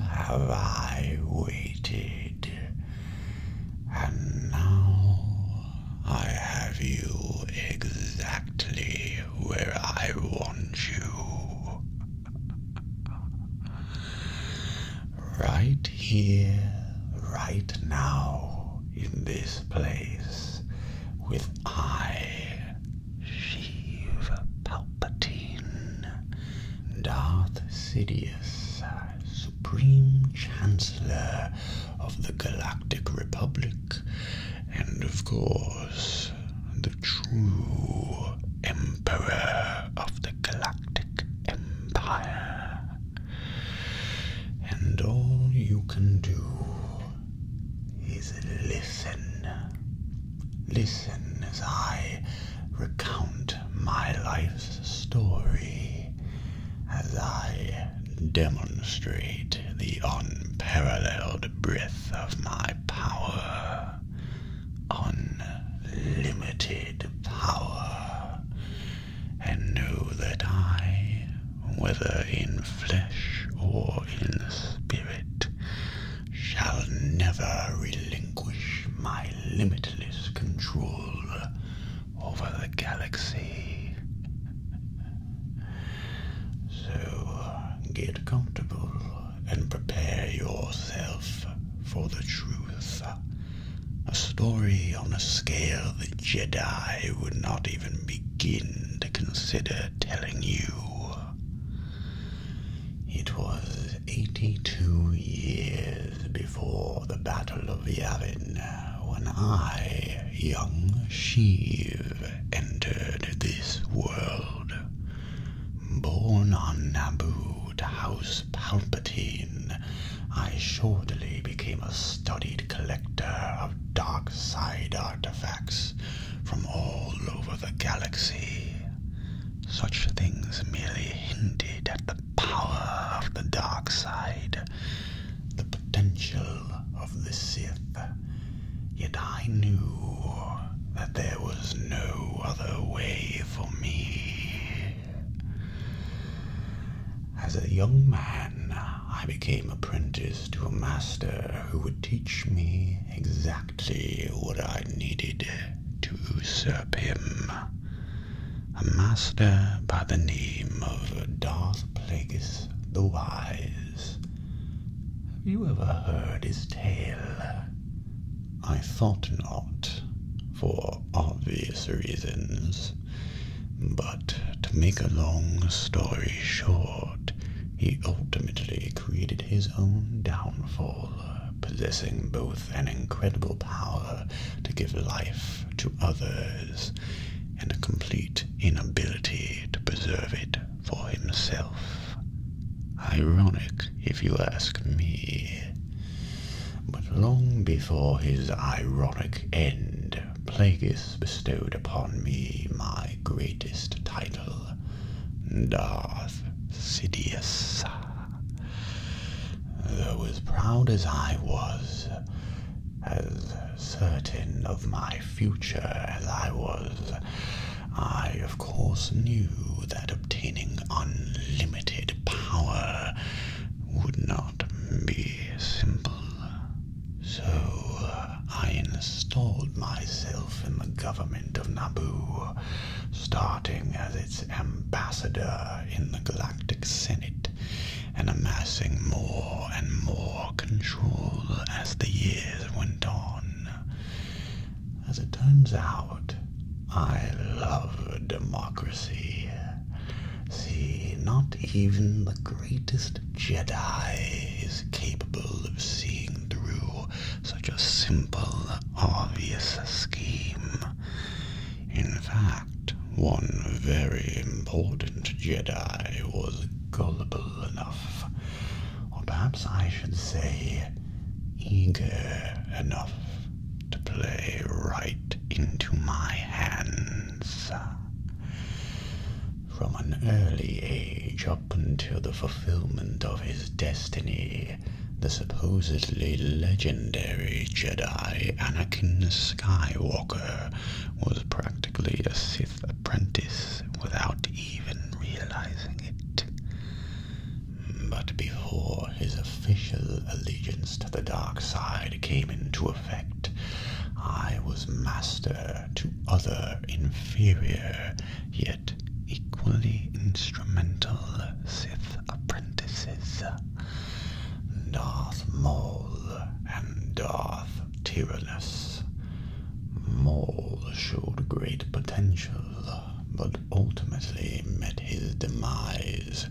have I waited, and now I have you exactly where I want you. Right here, right now, in this place, with I, Sheev Palpatine, Darth Sidious, Supreme Chancellor of the Galactic Republic, and of course, the true Emperor of the Galactic Empire. And all you can do is listen. Listen as I recount my life's story as I demonstrate the unparalleled breadth of my power. Unlimited power. And know that I, whether in flesh or in spirit, shall never relinquish my limitless control over the galaxy. So get comfortable and prepare yourself for the truth. A story on a scale the Jedi would not even begin to consider telling you. It was 82 years before the Battle of Yavin when I, young Shiv, entered this world. Born on Naboo to House Palpatine, I shortly became a studied collector of dark side artifacts from all over the galaxy. Such things merely hinted at the power of the dark side, the potential of the Sith, yet I knew that there was no other way for me. As a young man, I became apprentice to a master who would teach me exactly what I needed to usurp him. A master by the name of Darth Plagueis the wise. Have you ever heard his tale? I thought not, for obvious reasons. But to make a long story short, he ultimately created his own downfall, possessing both an incredible power to give life to others and a complete inability to preserve it for himself. Ironic, if you ask me. But long before his ironic end, Plagueis bestowed upon me my greatest title, Darth Sidious. Though as proud as I was, as certain of my future as I was, I of course knew that obtaining unlimited power would not be simple. So I installed myself in the government of Naboo, starting as its ambassador in the Galactic Senate and amassing more and more control as the years went on. As it turns out, I love democracy. See, not even the greatest Jedi is capable of seeing through such a simple, obvious scheme. In fact, one very important Jedi was gullible enough, or perhaps I should say eager enough, to play right into my hands. From an early age up until the fulfillment of his destiny, the supposedly legendary Jedi Anakin Skywalker was practically a Sith apprentice without even realizing it. But before his official allegiance to the dark side came into effect, I was master to other inferior, yet equally instrumental Sith apprentices. Darth Maul and Darth Tyrannus. Maul showed great potential, but ultimately met his demise,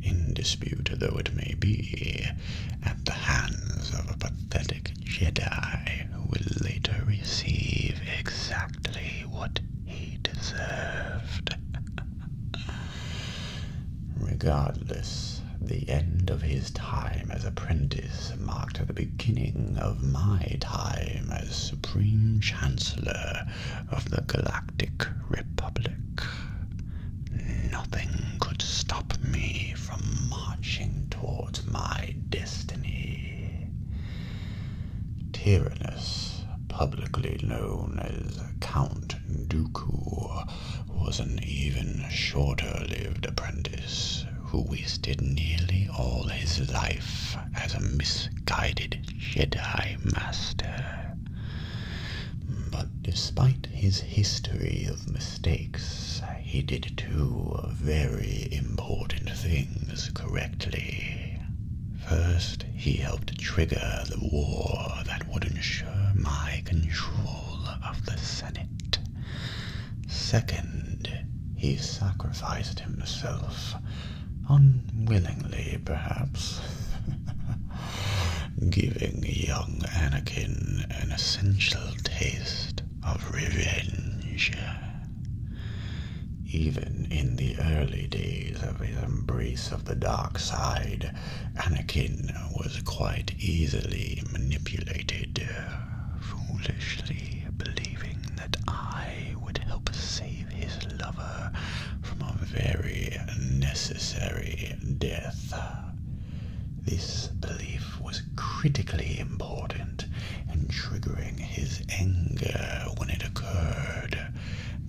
in dispute though it may be, at the hands of a pathetic Jedi who will later receive exactly what he deserved. Regardless, the end of his time as apprentice marked the beginning of my time as Supreme Chancellor of the Galactic Republic. Nothing could stop me from marching towards my destiny. Tyrannus, publicly known as Count Dooku, was an even shorter-lived apprentice who wasted nearly all his life as a misguided Jedi master. But despite his history of mistakes, he did two very important things correctly. First, he helped trigger the war that would ensure my control of the Senate. Second, he sacrificed himself, unwillingly perhaps, giving young Anakin an essential taste of revenge. Even in the early days of his embrace of the dark side, Anakin was quite easily manipulated, uh, foolishly believing that I would help save his lover from a very necessary death. This belief was critically important in triggering his anger when it occurred,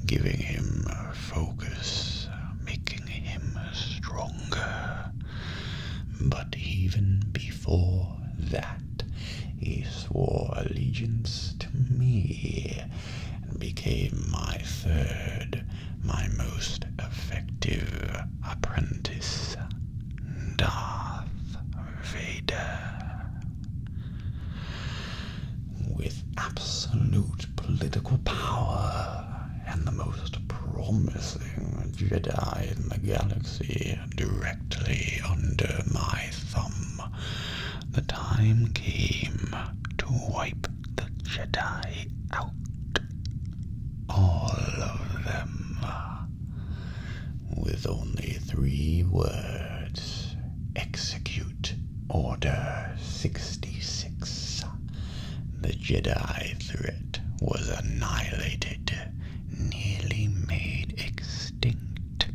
giving him focus, making him stronger. But even before that, he swore allegiance to me and became my third, my most effective apprentice, Darth Vader. With absolute political power and the most promising Jedi in the galaxy directly under my thumb. The time came to wipe the Jedi out. All of them. With only three words execute order 66. The Jedi threat was annihilated, nearly made extinct,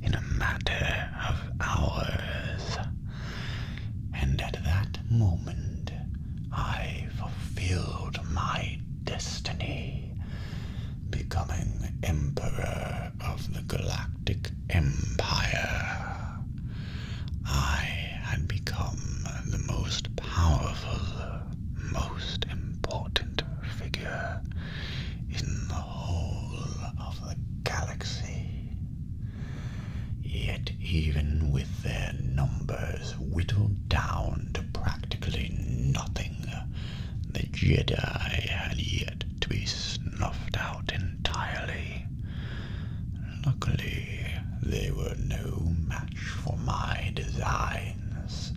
in a matter of hours. And at that moment, I fulfilled my destiny, becoming Emperor of the Galactic Empire. I had become the most powerful, most important figure in the whole of the galaxy. Yet, even with their numbers whittled down to practically nothing, the Jedi had yet to be snuffed out entirely. Luckily, they were no match for my designs,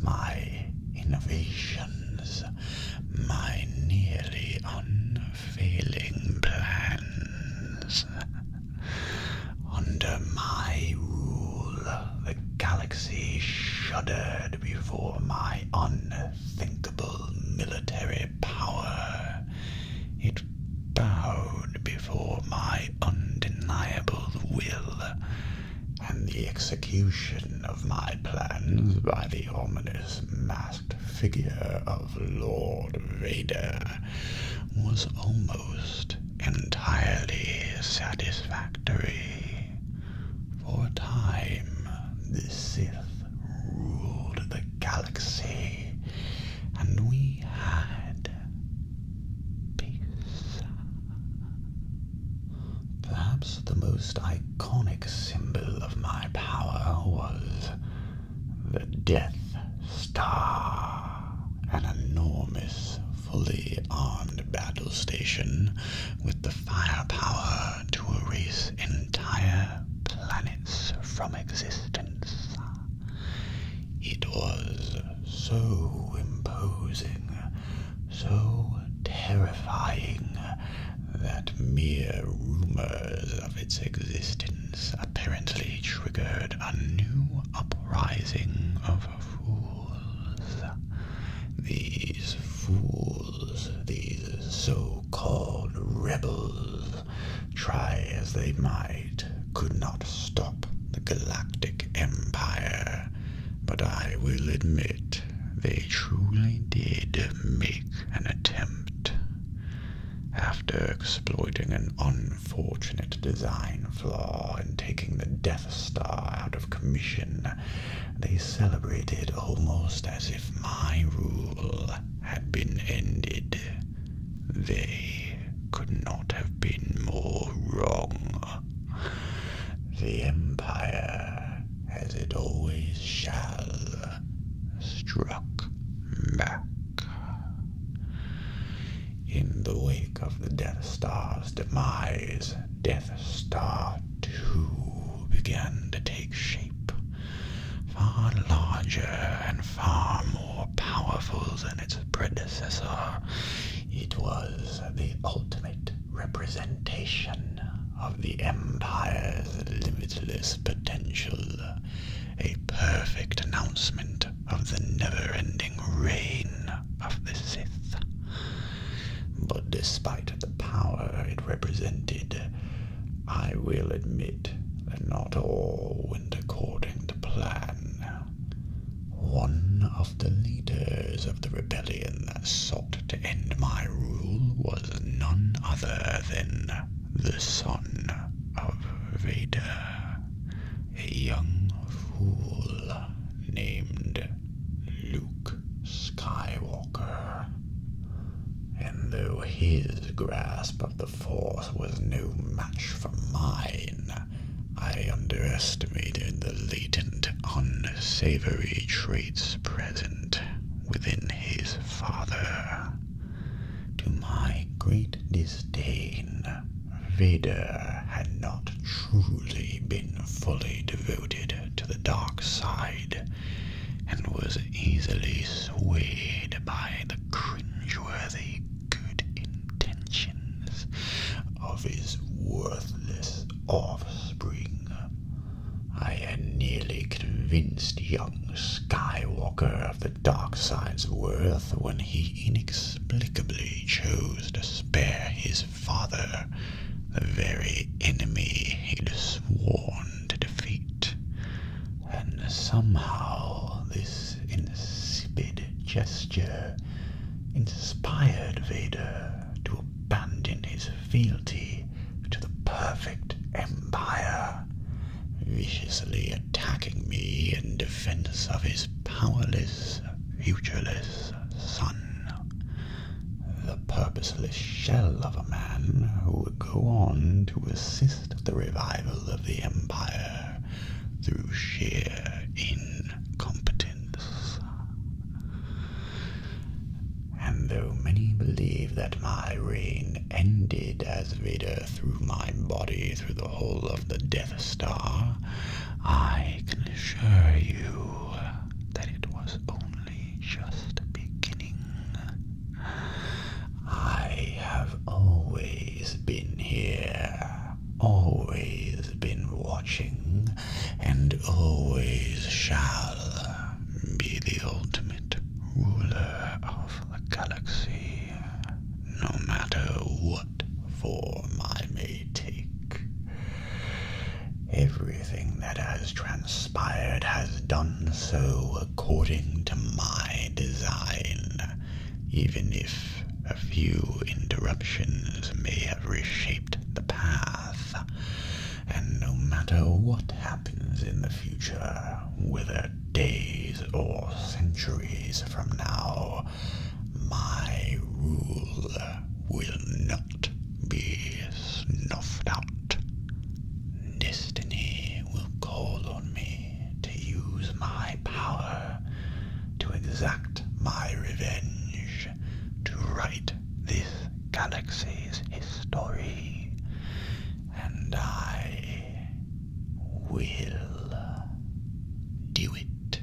my innovations, my nearly unfailing plans. Under my rule, the galaxy shuddered before my unthinkable military power. It bowed before my undeniable will, and the execution of my plans by the ominous masked figure of Lord Vader was almost entirely satisfactory. For a time, this Sith ruled the galaxy, and we had peace. Perhaps the most iconic symbol of my power was the Death Star, an enormous, fully armed battle station with the firepower to erase entire planets from existence. It was so imposing, so terrifying, that mere rumors of its existence apparently triggered a new uprising of fools. These fools, these so-called rebels, try as they might, could not stop the Galactic Empire. But I will admit, they truly did make an attempt. After exploiting an unfortunate design flaw in taking the Death Star out of commission, they celebrated almost as if my rule had been ended. They could not have been more wrong. The Empire, as it always shall, struck back. In the wake of the Death Star's demise, Death Star 2 began to take shape far larger and far more powerful than its predecessor. It was the ultimate representation of the Empire's limitless potential, a perfect announcement of the never-ending reign of the Sith. But despite the power it represented, I will admit did, and not all went according to plan. One of the leaders of the rebellion that sought to end my rule was none other than the son of Vader, a young fool named Luke Skywalker and though his grasp of the force was no match for mine, I underestimated the latent, unsavory traits present within his father. To my great disdain, Vader had not truly been fully devoted to the dark side, and was easily swayed by the cringeworthy good intentions of his worthless offspring. I had nearly convinced young Skywalker of the dark side's worth when he inexplicably chose to spare his father, the very enemy he'd sworn to defeat and somehow this insipid gesture inspired Vader to abandon his fealty to the perfect empire, viciously attacking me in defense of his powerless, futureless son, the purposeless shell of a man who would go on to assist witnessed the revival of the empire through sheer incompetence. And though many believe that my reign ended as Vader threw my body through the hole of the Death Star, I can assure you that it was only just beginning. I have always been here, always been watching, and always shall be the ultimate ruler of the galaxy, no matter what form I may take. Everything that has transpired has done so according to my design, even if a few interruptions may have reshaped the path. And no matter what happens in the future, whether days or centuries from now, my rule will not be snuffed out. Destiny will call on me to use my power to exact my revenge, to write this galaxy's history, and I will do it.